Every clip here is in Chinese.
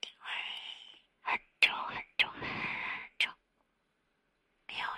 因为很久很久很久没有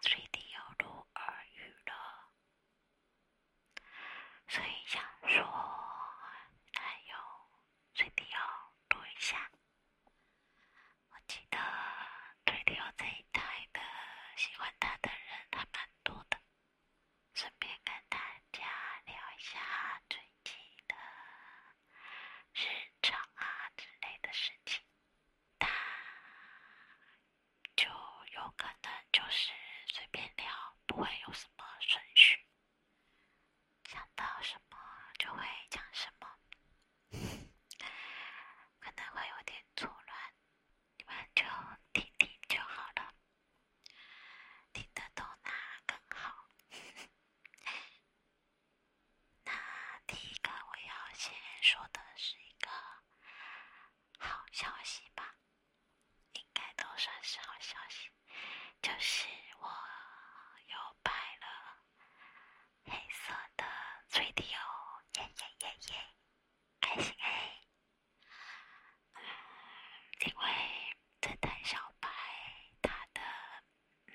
最低有录耳语了，所以想说还有最低要录一下。我记得最有这一台的，喜欢他的人还蛮多的。顺便跟大家聊一下最近的日常啊之类的事情，他就有可能就是随便聊，不会有什么顺序，想到什么就会讲什么，可能会有点错乱，你们就听听就好了。听得懂那更好。那第一个我要先说的是一个好消息吧，应该都算是好消息，就是我又拍了黑色的垂钓，耶耶耶耶，开心哎！因为这谭小白，他的嗯，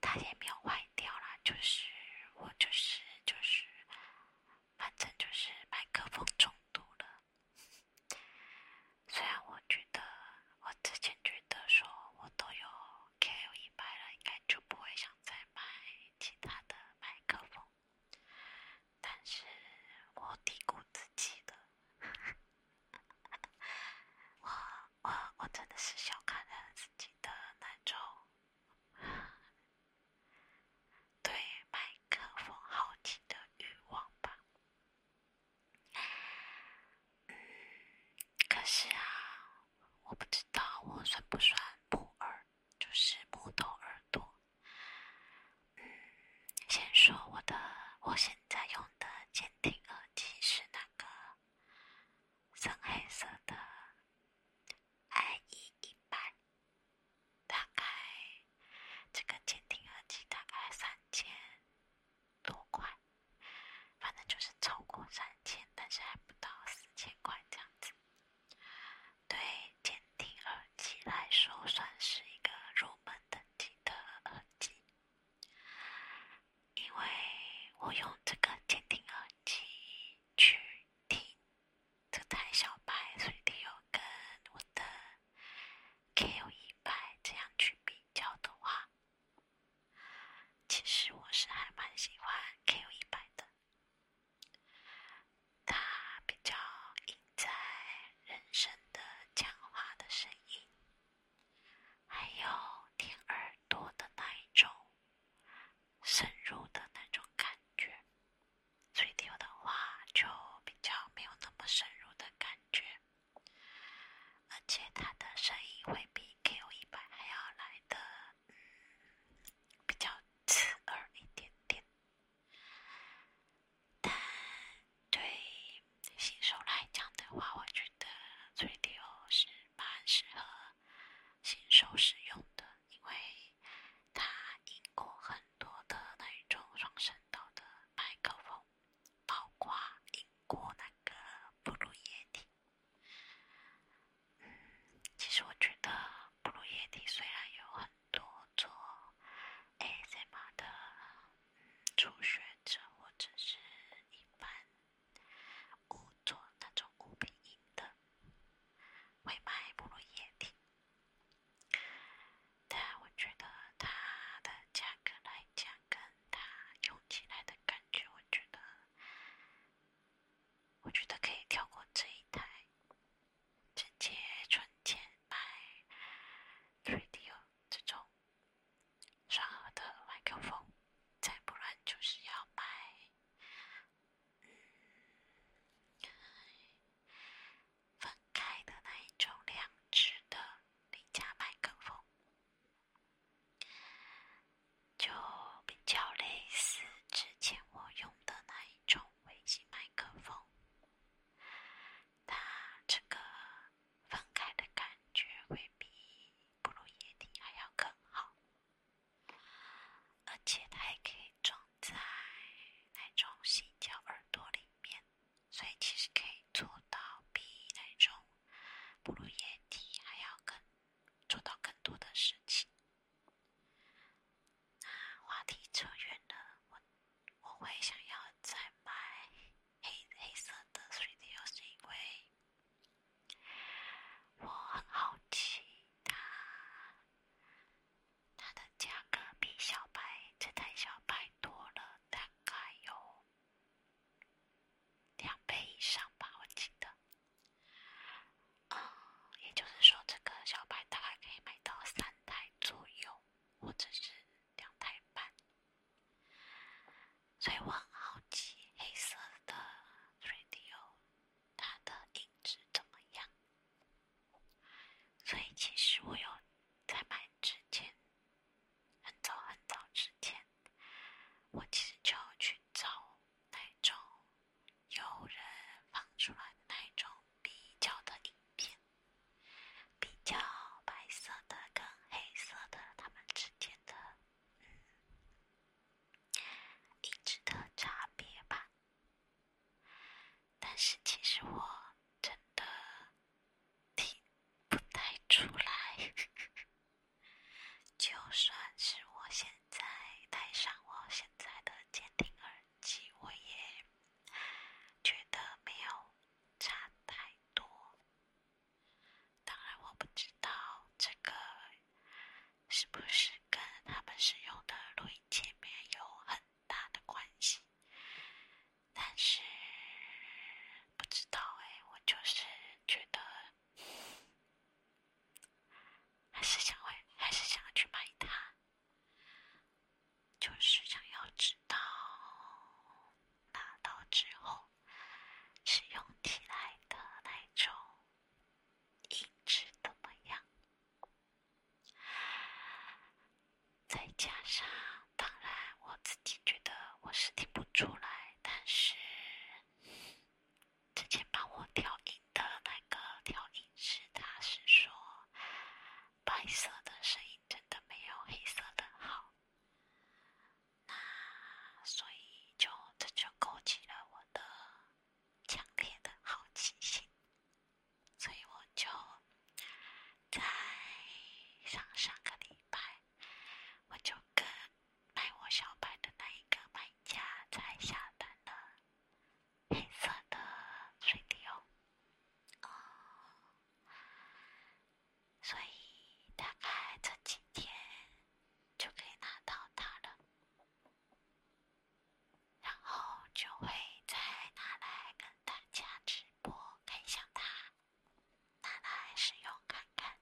他也没有坏掉了，就是我就是就是，反正就是麦克风中毒了。虽然我觉得，我之前觉得说我都有 KU 一百了，应该就不会想再买其他的麦克风。但是我低估自己了，我我我真的是小看了自己的那种对麦克风好奇的欲望吧。嗯，可是啊，我不知道我算不算木耳，就是木头耳朵。嗯，先说我的，我现在用的监听耳机是那个深黑色的 i e 一百，大概这个监听耳机大概三千多块，反正就是超过三千，但是还不到四千块这样子。对监定耳机来说，算是一个入门等级的耳机。因为我用这个监定耳机去听这台小白，所以你有跟我的 Q100 这样去比较的话，其实我是还蛮喜欢 Q100 的。它比较音在人声的讲话的声音，还有贴耳朵的那一种深入的那种感觉。吹调的话就比较没有那么深入的感觉，而且它的声音会比 Q 一百还要来的比较刺耳一点点。但对新手来讲的话，我觉得 CDL 是蛮适合新手使用的，因为它英国很多的那种双声道的麦克风，包括英国那个布鲁叶迪。嗯，其实我觉得布鲁叶迪虽然有很多做 ASMR 的初学者或者是一般误做那种古拼音的，会买不鲁叶听。但我觉得它的价格来讲，跟它用起来的感觉，我觉得，我觉得可以跳过这一台。直接存钱买 r a d 这种双耳的麦克风，再不然就是要买嗯分开的那一种两只的廉价麦克风，就比较类似之前我用的那一种微型麦克风。它这个分开的感觉会比哺乳液体还要更好，而且它还可以装在那种橡胶耳朵里面，所以其实可以做到比那种哺乳液体还要更做到更多的事情。那话题扯远了，我我会想要再买黑黑色的水貂，是因为我很好奇它它的价格比小白这台小白多了大概有两倍以上吧，我记得。嗯，也就是说，这个小白大概可以买到三台。左右，或者是两台半，所以我很好奇黑色的 Radio 它的音质怎么样。所以其实我有在买之前，很早很早之前，我其实就去找那种。有人放出来的那种比较的影片，比较白色的跟黑色的，它们之间的嗯一直的差别吧。但是其实我真的听不太出来，就算是我现在戴上我现在的监听耳。其实我也觉得没有差太多。当然我不知道这个是不是跟他们使用的录音界面有很大的关系，但是不知道哎，我就是觉得还是想买，还是想要去买它。就是想要知道拿到之后使用起来的那种音质怎么样，再加上当然我自己觉得我是听不出来，但是之前帮我调音。的那个调音师，他是说白色的声音真的没有黑色的好，那所以就这就勾起了我的强烈的好奇心，所以我就在上上个礼拜，我就跟卖我小白的那一个卖家才下单了。黑色的水滴哦，所以大概这几天就可以拿到它了，然后就会再拿来跟大家直播看一下它，拿来使用看看。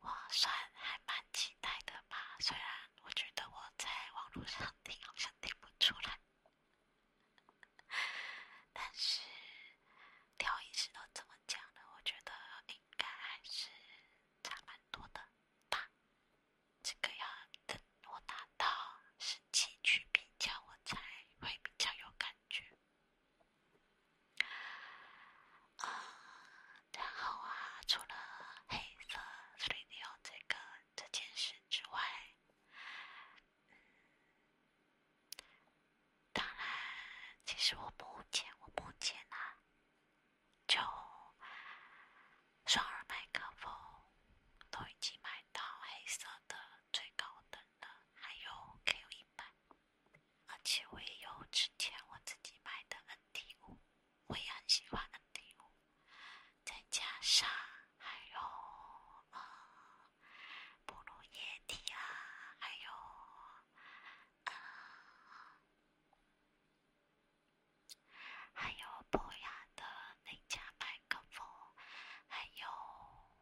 我算还蛮期待的吧，虽然我觉得我在网络上听好像听不出来。但是，调音师都这么讲了，我觉得应该还是差蛮多的吧。这个要等我达到实际去比较，我才会比较有感觉。啊，然后啊，除了黑色 s t d i o 这个这件事。之外，嗯，当然，其实我不前我不减啊，就双耳麦克风都已经买到黑色的最高等的还有 Q 一百，而且我也有之前我自己买的 n T 五，我也很喜欢 n T 五。再加上还有呃，波罗液体啊，还有呃，还有博雅的那家麦克风，还有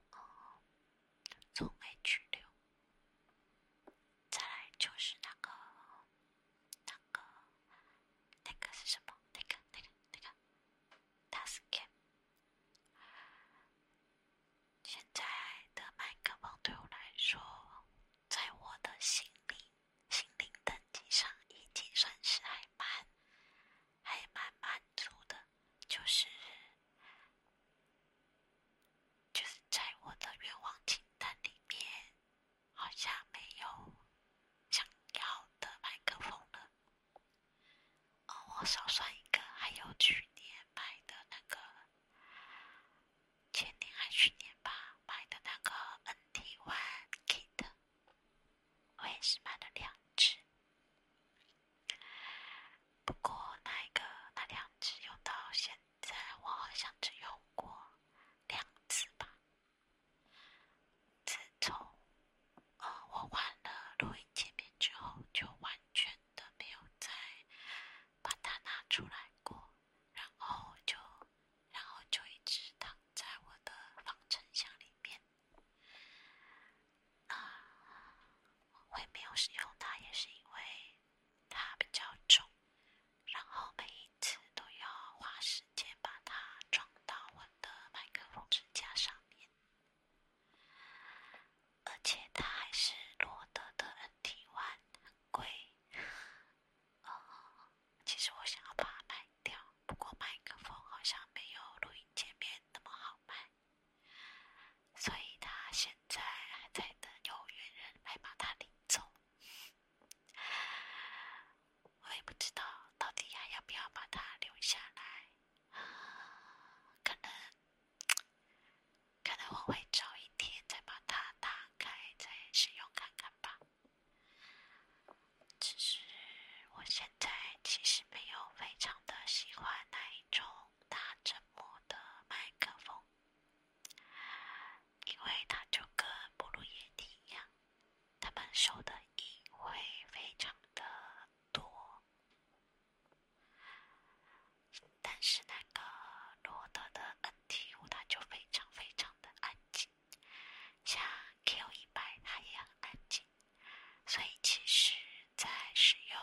从 H 六，再来就是那个那个。那个是什么？那个、那个、那个 t a s k 现在的麦克风对我来说，在我的心里、心灵等级上，已经算是还蛮、还蛮满足的。就是，就是在我的愿望清单里面。好像没有想要的麦克风了。哦，我少算一个，还有去年买的那个，前年还去年吧，买的那个 NT One Kit，我也是买了两只。不过那一个那两只用到现在，我好像只用过两次吧。自从呃我换了录音界面之后，就完全的没有再把它拿出来过，然后就然后就一直躺在我的防尘箱里面。啊，我也没有使用它，也是因为它比较重，然后每一每次都要花时间把它装到我的麦克风支架上面，而且它还是罗德的 NT1，o 很贵。呃，其实我想要把它卖掉，不过麦克风好像没有录音界面那么好卖，所以它现在还在等有缘人来把它领走。我也不知道到底还要不要把它留下来，啊，可能，可能我会找一天再把它打开再使用看看吧。只是我现在其实没有非常的喜欢那一种大沉默的麦克风，因为它就跟布鲁耶迪一样。他们收的音会非常的多，但是那个罗德的 NT5 它就非常非常的安静，像 Q100 它也很安静，所以其实在使用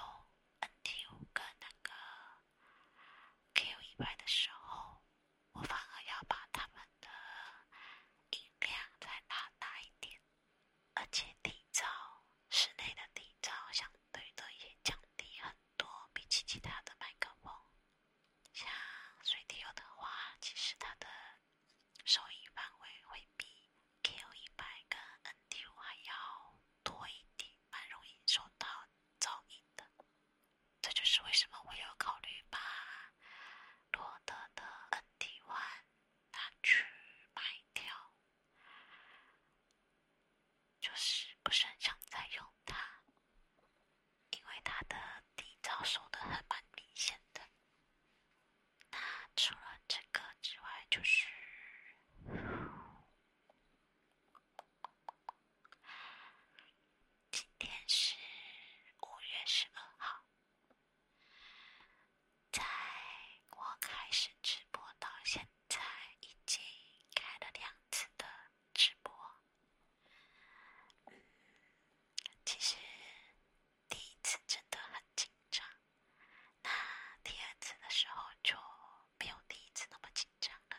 NT5 跟那个 Q100 的时候。我反而要把他们的音量再拉大一点，而且底噪室内的底噪相对的也降低很多，比起其他的麦克风，像水滴的话，其实它的收音范围会比 Q 一百跟 NDU 还要多一点，蛮容易受到噪音的。这就是为什么我有考虑把罗德的 N。底弯，它去卖掉，就是不是很想再用它，因为它的底噪收的还蛮明显的。那除了这个之外，就是今天是五月十二号。在我开始直播到现在，已经开了两次的直播。嗯，其实第一次真的很紧张，那第二次的时候就没有第一次那么紧张了，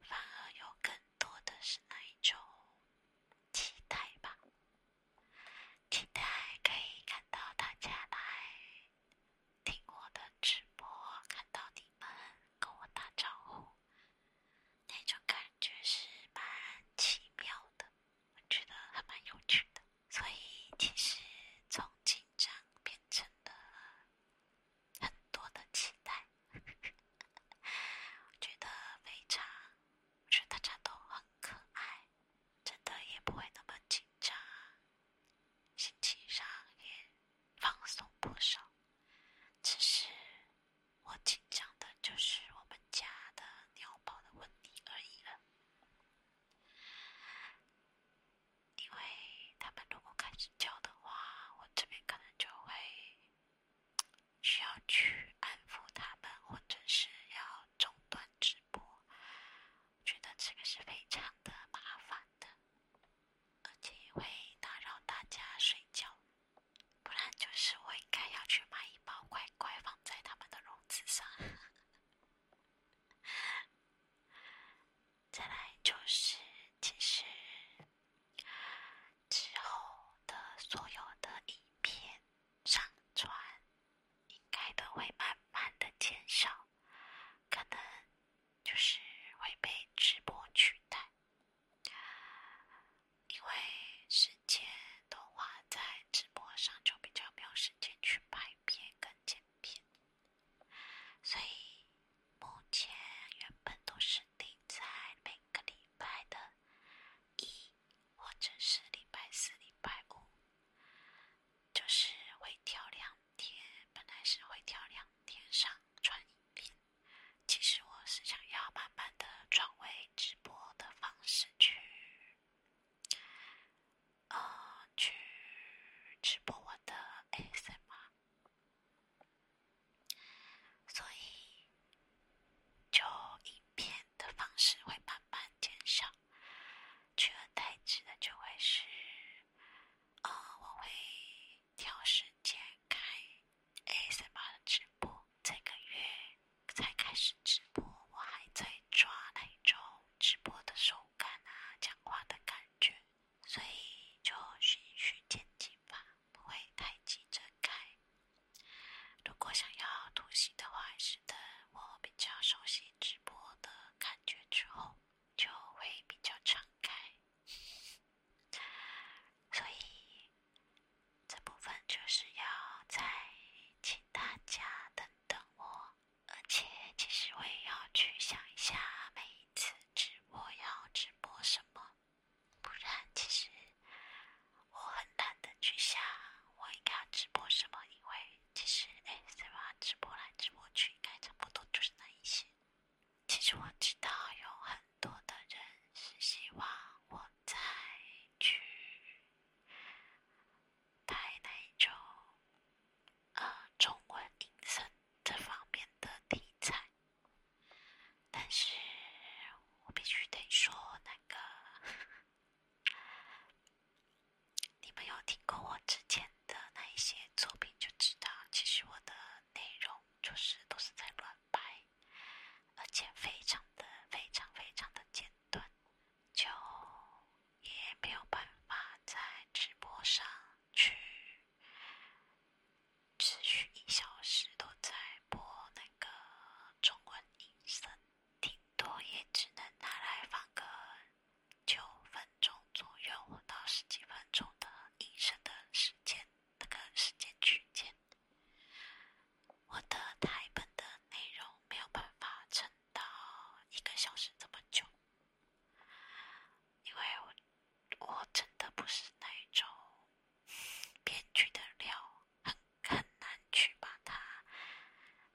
反而有更。多的是那一种期待吧，期待可以看到大家来听我的直播，看到你们跟我打招呼，那种感觉是蛮奇妙的，我觉得还蛮有趣的。所以其实从紧张变成了很多的期待，觉得非常。我觉得大家都很可爱，真的也不会那么紧张，心情上也放松不少。只是我紧张的就是我们家的鸟宝的问题而已了，因为他们如果开始叫的话，我这边可能就会。需要去安抚他们，或者是要中断直播，我觉得这个是非常的麻烦的，而且会打扰大家睡觉。不然就是我应该要去买一包乖乖放在他们的笼子上。再来就是，其实。之后的所有的影片上传，应该都会慢慢的减少，可能就是会被直播取代，因为时间的话，在直播上就比较没有时间去拍片跟剪片，所以目前原本都是。定在每个礼拜的一或者是礼拜四、礼拜五，就是会跳两天。本来是会跳两天上传影片，其实我是想要慢慢的转为直播的方式去，呃，去直播我的 SMR。所以，就影片的方式会慢慢减少，取而代之的就会是，呃，我会挑时间开 A m r 的直播。这个月才开始直播，我还在抓那种直播的手感啊，讲话的感觉，所以就循序渐进吧。不会太急着开。如果想要吐心的话，还是等我比较熟悉直播的感觉之后，就会比较敞开。所以这部分就是要再请大家等等我。而且，其实我也要去想一下，每一次直播要直播什么。不然，其实我很懒得去想我应该要直播什么，因为其实哎，虽么直播来直播去，应该差不多就是那一些。其实我知道有很多的人是希望我再去拍那种呃中文音色这方面的题材。但是我必须得说，那个你们有听过我之前的那一些作品，就知道其实我的内容就是都是在乱拍，而且非常的非常非常的简短，就也没有办法在直播上去持续一小时都在播那。个。个中文音声，顶多也只能拿来放个九分钟左右到十几分钟的音声的时间，那个时间区间。我的台本的内容没有办法撑到一个小时这么久，因为我我真的不是那种编剧的料。很难去把它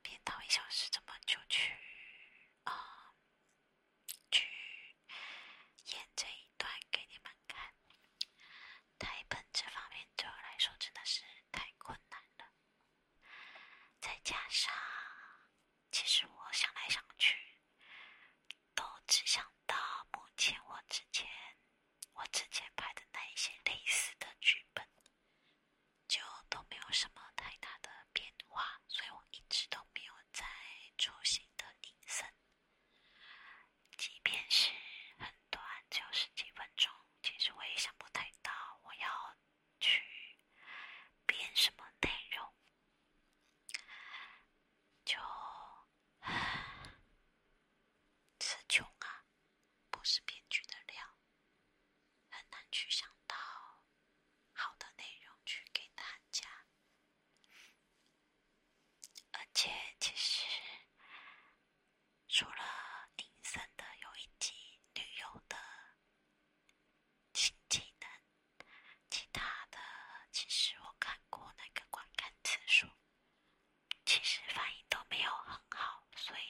编到一小时，怎么就去啊？去演这一段给你们看。台本这方面对我来说真的是太困难了。再加上，其实我想来想去，都只想到目前我之前。我之前拍的那一些类似的剧本，就都没有什么太大的变化，所以我一直都没有在出新的拟声。即便是很短，只有十几分钟，其实我也想不太到我要去编什么内容，就 词穷啊。不是编剧的料，很难去想到好的内容去给大家。而且，其实除了隐身的有一集旅游的新技能，其他的其实我看过那个观看次数。其实反应都没有很好，所以，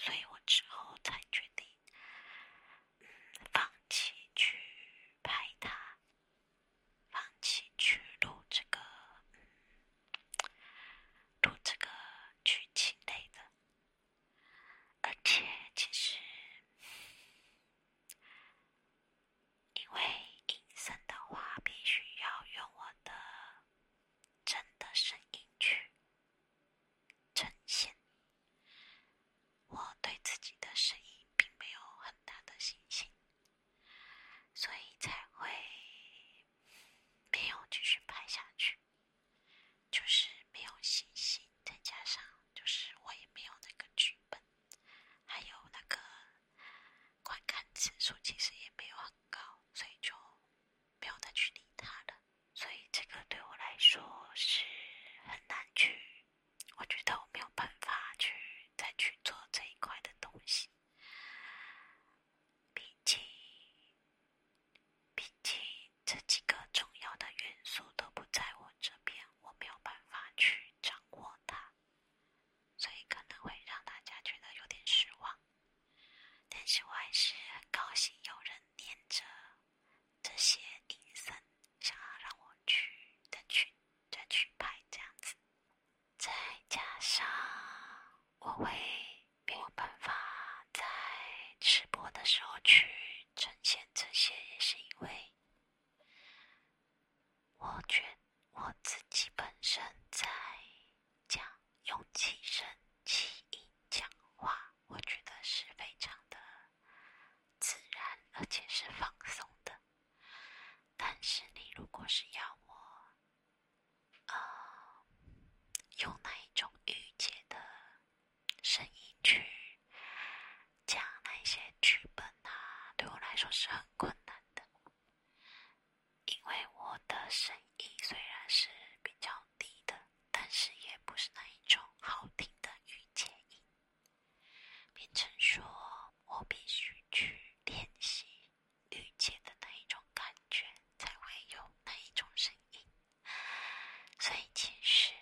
所以我之后才决定，嗯，放弃去拍它，放弃去录这个，录这个剧情类的。而且，其实，因为隐身的话，必须要用我的。真的声音去呈现，我对自己的声音并没有很大的信心，所以才会没有继续拍下去，就是没有信心，再加上就是我也没有那个剧本，还有那个。观看次数其实也没有很高，所以就不要再去理他了。所以这个对我来说是很难去，我觉得我没有办法去再去做这一块的东西。毕竟，毕竟这几个重要的元素都不在我这边，我没有办法去掌握它。所以可能会让大家觉得有点失望，但是我还是很高兴有人念着这些音声，想要让我去再去再去拍这样子。再加上我会没有办法在直播的时候去呈现这些，也是因为我觉。我自己本身在讲，用气声、气音讲话，我觉得是非常的自然，而且是放松的。但是你如果是要我，呃，用那一种御姐的声音去讲那些剧本啊，对我来说是很困难的。因为我的声音虽然是比较低的，但是也不是那一种好听的御姐音，变成说我必须去练习御姐的那一种感觉，才会有那一种声音。所以其实。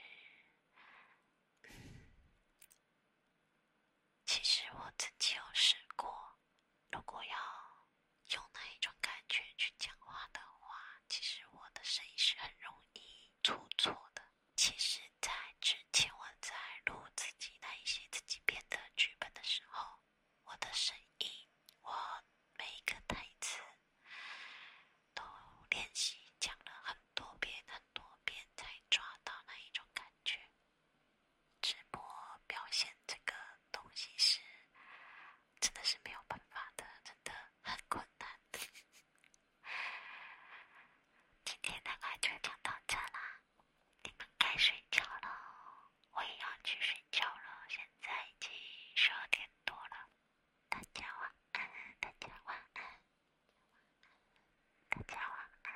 其实我自己有试过，如果要用那一种感觉去讲话的话，其实我的声音是很容易出错的。其实，在之前我在录自己那一些自己编的剧本的时候，我的声音，我每一个台词，都练习讲了很多遍，很多遍才抓到那一种感觉。直播表现这个东西是，真的是没有办法的，真的很困难。今天大概就讲到这啦，你们该睡觉了，我也要去睡觉了。现在已经十二点多了，大家晚安，大家晚安，大家晚安。